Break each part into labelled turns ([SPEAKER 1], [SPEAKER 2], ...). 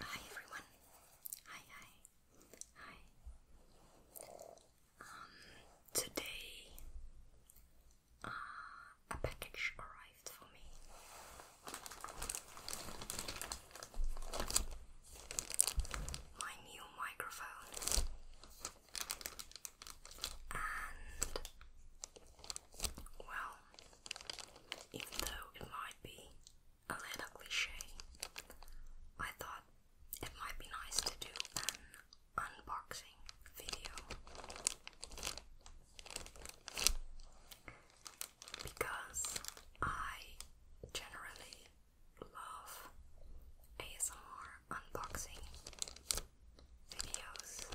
[SPEAKER 1] Hi everyone. Hi, hi. Hi. Um today uh, a package arrived for me. My new microphone and well, even though it might be a little cliche, I thought it might be nice to do an unboxing video because I generally love ASMR unboxing videos.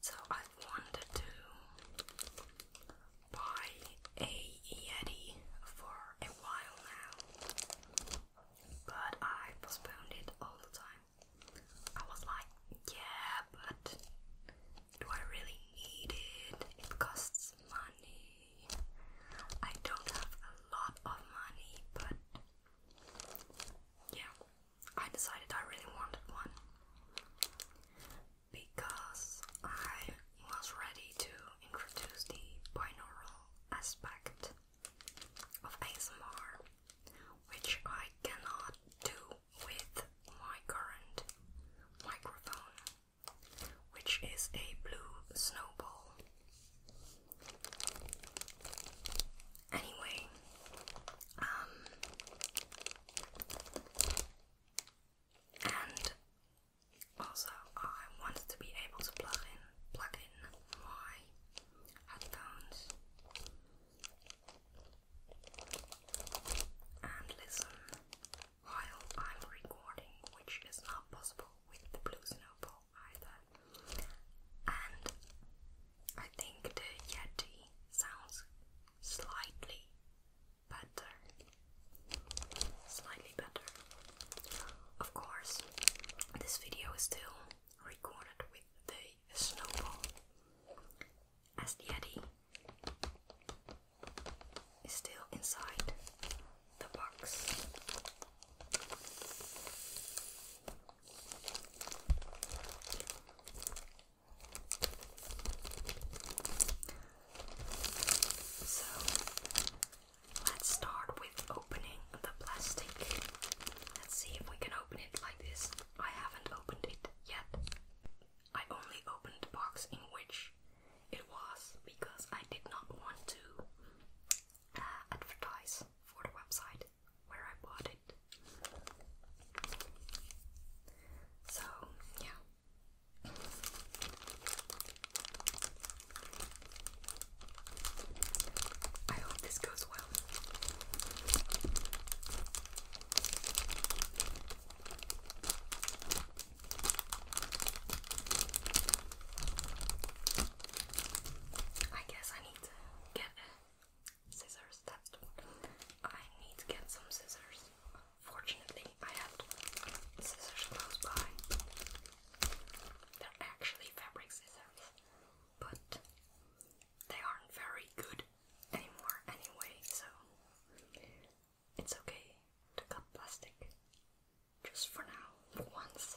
[SPEAKER 1] So I wanted to buy a Yeti for a while now but I postponed it all the time. I was like, yeah, but do I really need it? It costs money. I don't have a lot of money, but yeah, I decided I really wanted one because I was ready to introduce the binaural aspect of ASMR, which I cannot do with my current microphone, which is a blue snowball. Anyway, um, and also I wanted to be able to plug in plug in my headphones and listen while I'm recording, which is not possible with the Blue Snowball either. And I think the Yeti sounds slightly better. Slightly better. Of course, this video is still recorded with the snowball as the Yeti is still inside the box. So Let's start with opening the plastic. Let's see if we can open it like this. I haven't opened it yet. I only opened the box in which it was because I did not want to uh, advertise for the website where I bought it. So, yeah. I hope this goes well. I guess I need to get scissors. I need to get some scissors. Fortunately, I have scissors close by. They're actually fabric scissors but they aren't very good anymore anyway, so it's okay to cut plastic just for now, for once.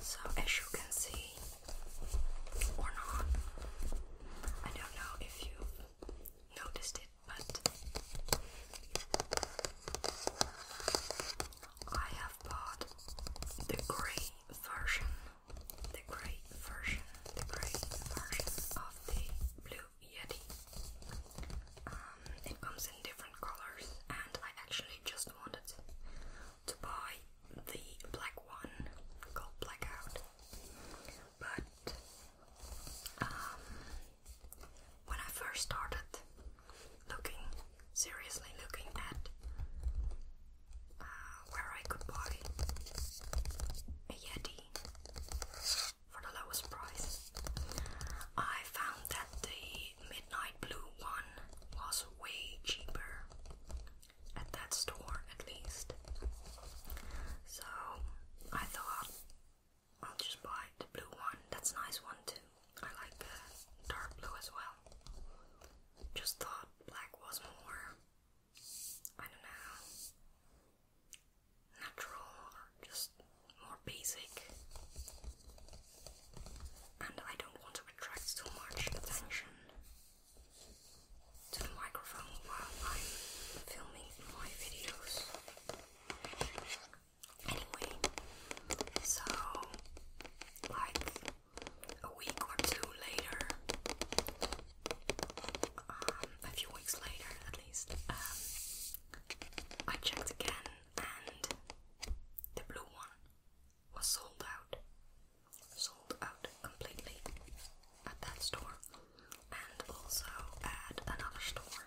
[SPEAKER 1] So, as you can see, or not, I don't know if you noticed it, but I have bought the grey version, the grey version, the grey version of the Blue Yeti. Um, it comes in different colors, and I actually just wanted to buy the black one called Blackout. But um, when I first started looking, seriously looking at uh, where I could buy a Yeti for the lowest price, I found that the midnight blue one was way cheaper at that store, at least. So I thought I'll just buy the blue one. That's nice one too. I like dark blue as well. Just thought black was more, I don't know, natural or just more basic, and I don't want to attract too much attention to the microphone while I'm filming my videos. Anyway, so like a week or two later, um, a few weeks later at least, um, I checked again and the blue one was sold out, sold out completely at that store, and also at another store.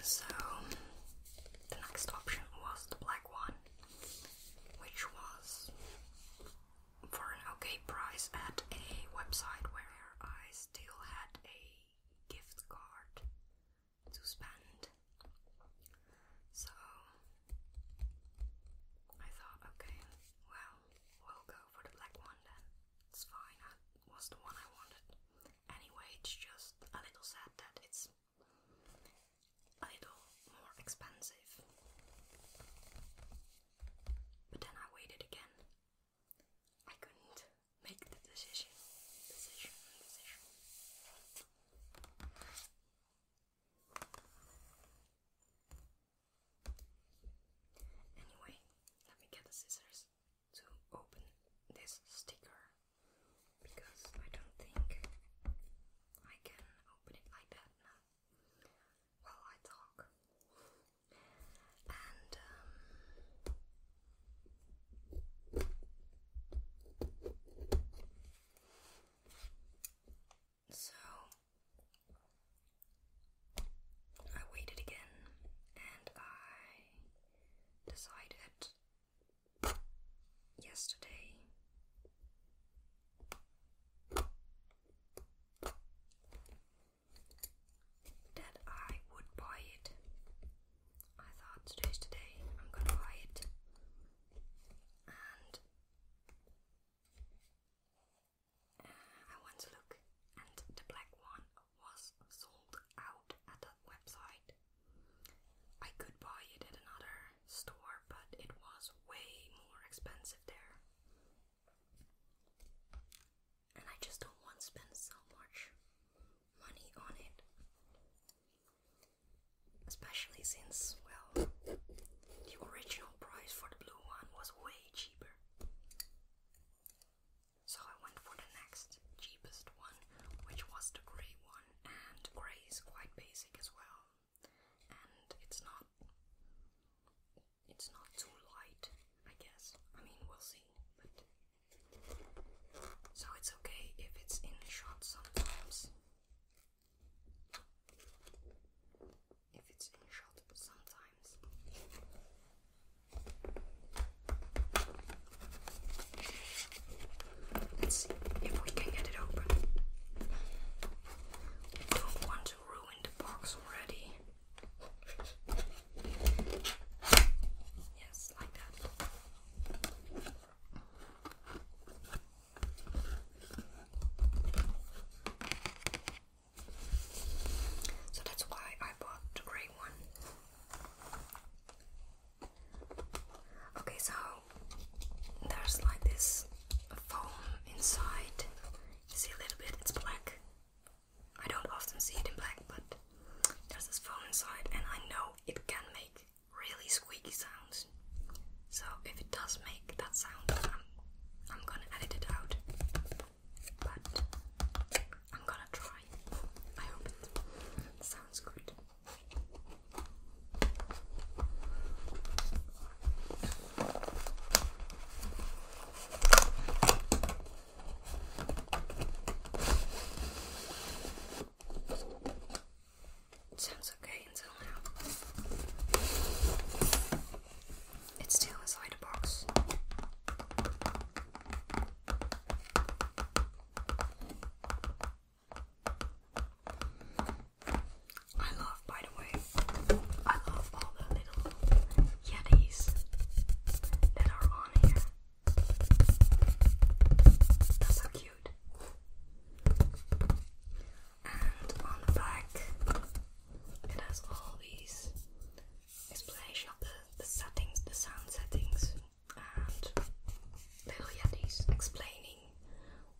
[SPEAKER 1] So, the next option was the black one, which was for an okay price at a website where I still had a gift card to spend. So I thought, okay, well, we'll go for the black one then. It's fine, was the one I wanted. Anyway, it's just a little sad that it's a little more expensive. But then I waited again I couldn't make the decision, decision, decision. Anyway, let me get the scissors to open this sticker because I don't think I can open it like that now. While I talk, and um, so I waited again and I decided yesterday that I would buy it. I thought today, I'm gonna buy it. And uh, I went to look, and the black one was sold out at the website. I could buy it at another store, but it was way more expensive there and I just don't want to spend so much money on it. Especially since, well, the original price for the blue one was way cheaper. So I went for the next cheapest one, which was the grey one, and grey is quite basic as well. And it's not it's not too light, I guess. I mean, we'll see. But so it's okay if it's in shot sometimes. If it's in shot sometimes. Let's see if we can get it open. don't want to ruin the box already. Yes, like that. So that's why I bought the grey one. Okay, so there's like this foam inside. see a little bit, it's black. I don't often see it in black, but there's this phone inside, and I know it can make really squeaky sounds. So if it does make that sound, I'm, I'm gonna edit it out. But I'm gonna try. I hope it sounds good sounds okay until now. It's still inside the box. I love, by the way, I love all the little Yetis that are on here. That's so cute. And on the back, it has all these explanation of the, settings, the sound settings, and little Yetis explaining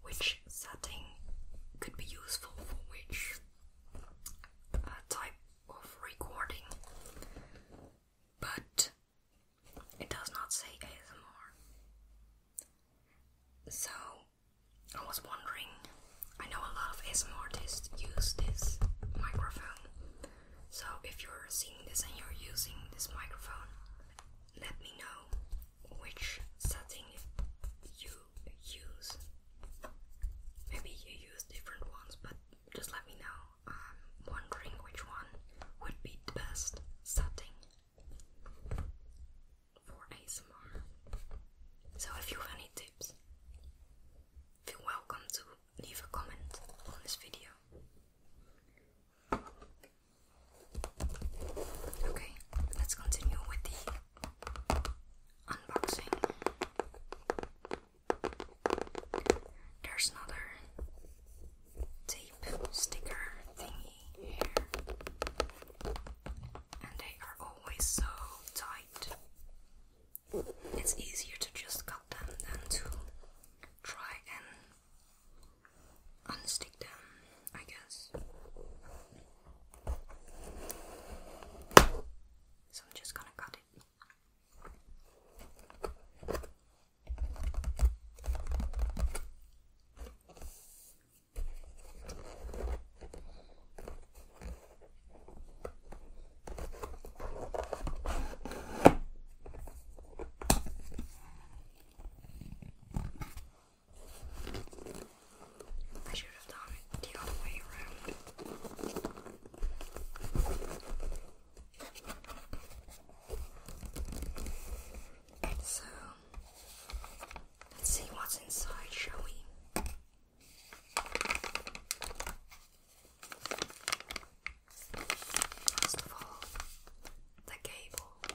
[SPEAKER 1] which setting could be useful for which uh, type of recording, but it does not say ASMR. So I was wondering, I know a lot of ASMR artists use this microphone, so if you're seeing this and you're using this microphone, let me know which setting you use. Maybe you use different ones, but just let me know. I'm um, wondering which one would be the best setting for ASMR. So if you have any tips, feel welcome to leave a comment on this video. Okay, let's continue with the unboxing. There's another tape sticker thingy here, and they are always so tight. It's easier to just cut them than to try and unstick them, I guess. So I'm just gonna cut it. I should have done it the other way around. so, let's see what's inside, shall we? First of all, the cable.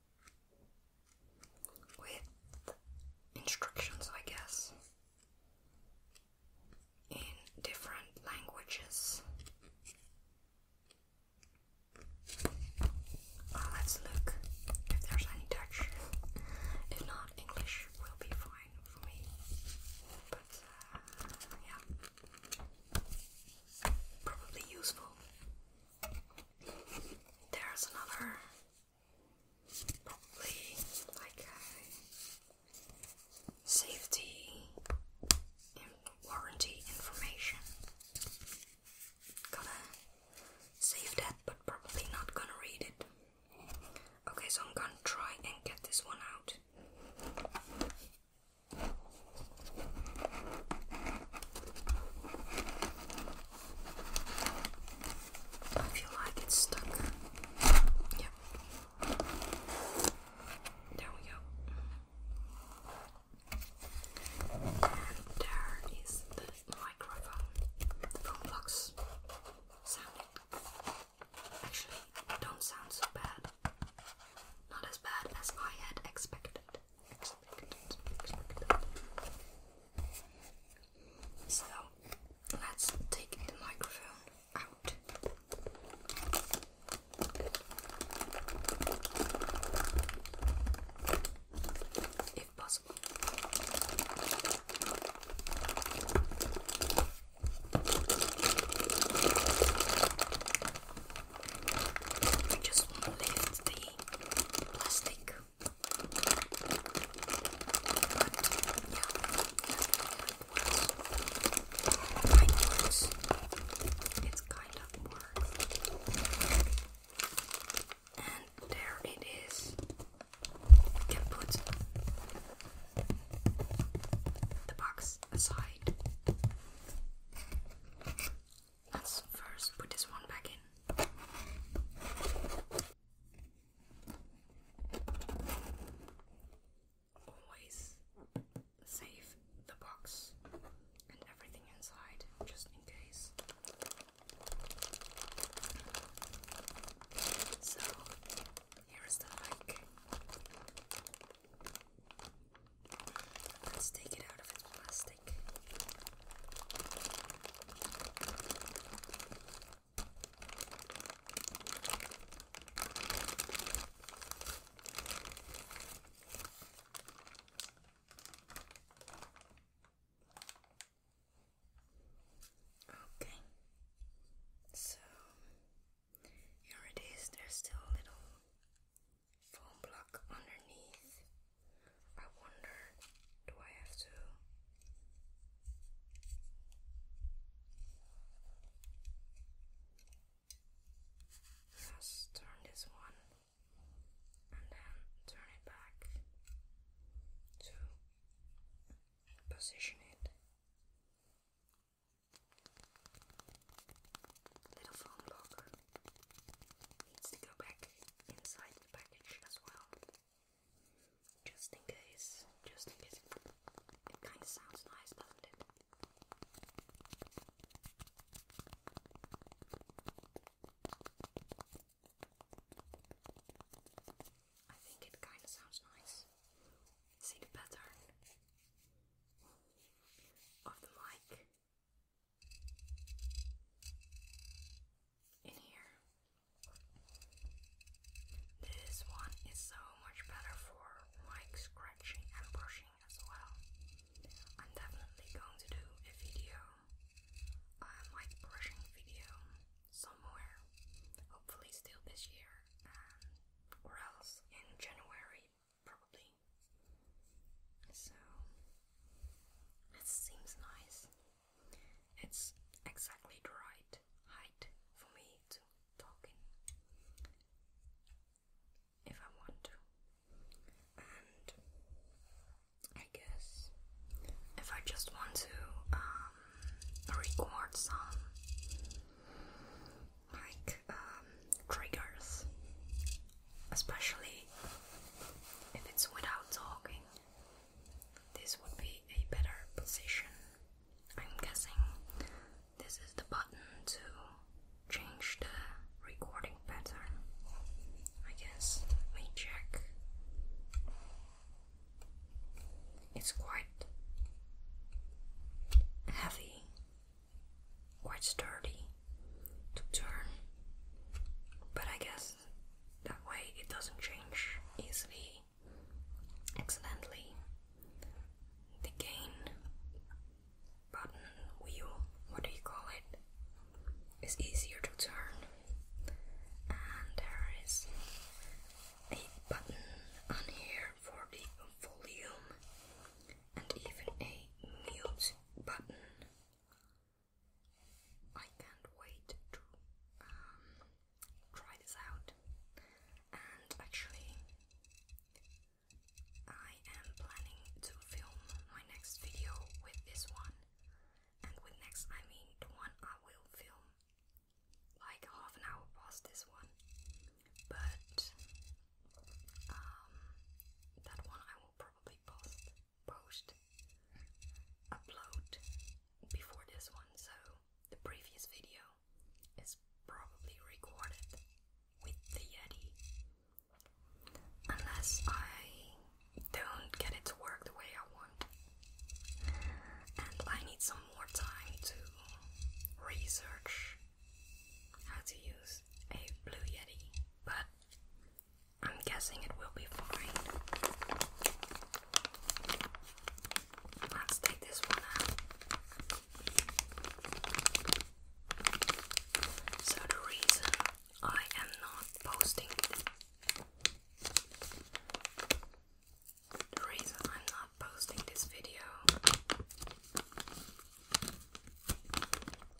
[SPEAKER 1] with instructions, I guess, in different languages. Uh, let's look if there's any Dutch. If not, English will be fine for me. But uh, yeah, probably useful there's another, probably like a safety warranty information. Gotta save that, but probably not gonna read it. Okay, so I'm gonna try and get this one out. I feel like it's stuck. Yep. There we go. there is the microphone. The phone box actually don't sound so bad. Not as bad as I had expected. So let's take the microphone out. If possible. I just want to lift the plastic. But, yeah, it kind of works. And there it is. can put the box aside. Let's first put this one back in. Always save the box and everything inside just in case. So here is the like Let's take it out of its plastic. Okay, so here it is. There's still a little foam block underneath. I wonder, do I have to? Just turn this one and then turn it back to position it. Little phone blocker needs to go back inside the package as well. Just in case, just in case it, kind of sounds nice, doesn't it? I think it kind of sounds nice. See the pattern of the mic in here. This one is so much better for like scratching and brushing as well. I'm definitely going to do a video, um, like brushing video, somewhere. Hopefully, still this year, or else in January probably. So, it seems nice. It's exactly the right height for me to talk in if I want to. And I guess if I just want to um, record some like uh, triggers, especially if it's without talking. This would be a better position. I'm guessing this is the button to change the recording pattern. I guess. Let me check. It's quite heavy Quite sturdy to turn. But I guess that way it doesn't change easily, accidentally. The gain button, wheel, what do you call it, is easier to turn. And there is a button on here for the volume and even a mute button. I can't wait to um, try this out. And actually, I am planning to film my next video with this one. And with next, I mean the one I will film like half an hour past this one. But um, that one I will probably post, upload before this one. So the previous video is probably recorded with the Yeti, unless I don't get it to work the way I want, and I need some more time to research how to use a Blue Yeti, but I'm guessing it will be fine. Let's take this one out. So, the reason I am not posting, the reason I'm not posting this video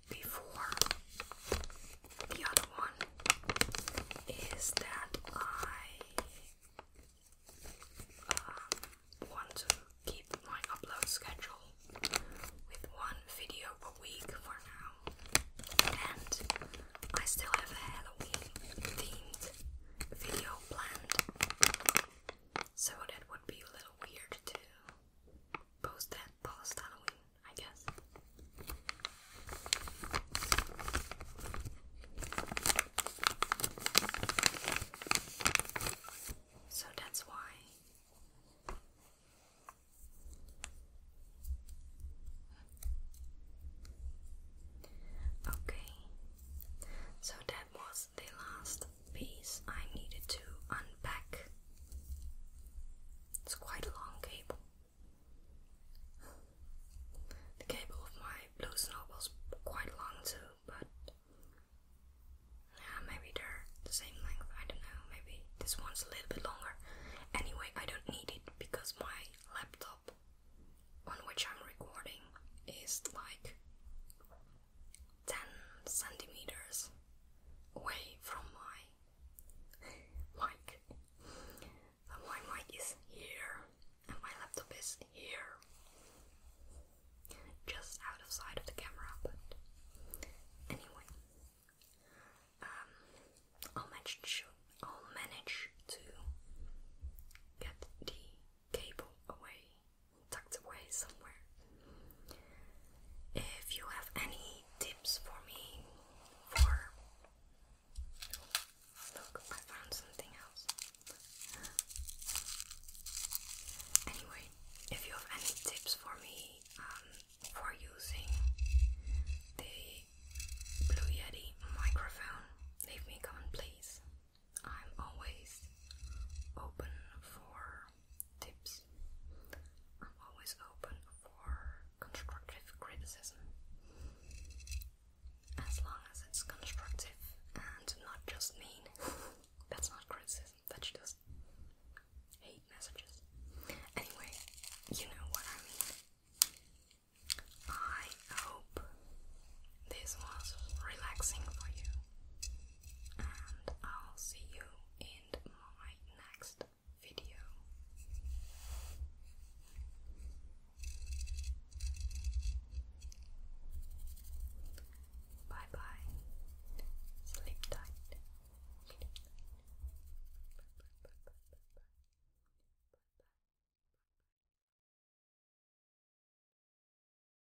[SPEAKER 1] before the other one is that I um, want to keep my upload schedule with one video per week for now, and I still have a Halloween themed video planned, so that would be a little weird to post that post that. I guess. So that's why. Okay, so that was the last piece I needed to unpack. It's quite a long cable. The cable of my blue snow was quite long too, but yeah, maybe they're the same length. I don't know. Maybe this one's a little bit longer. Anyway, I don't need it because my laptop on which I'm recording is like 10 centimeters away from my mic. my mic is here and my laptop is here. Just out of sight of the camera, but anyway. Um, I'll manage to get the cable away tucked away somewhere. If you have any tips for me for Look, I found something else. Anyway, if you have any tips for me um, for using the Blue Yeti microphone, leave me a comment, please. I'm always open for tips. I'm always open for constructive criticism. As long as it's constructive and not just mean. that's not criticism, that's just hate messages. Anyway, you know what I mean. I hope this was relaxing for you and I'll see you in my next video. Bye bye. Sleep tight. Sleep tight. Bye, bye, bye, bye, bye, bye. Bye, bye.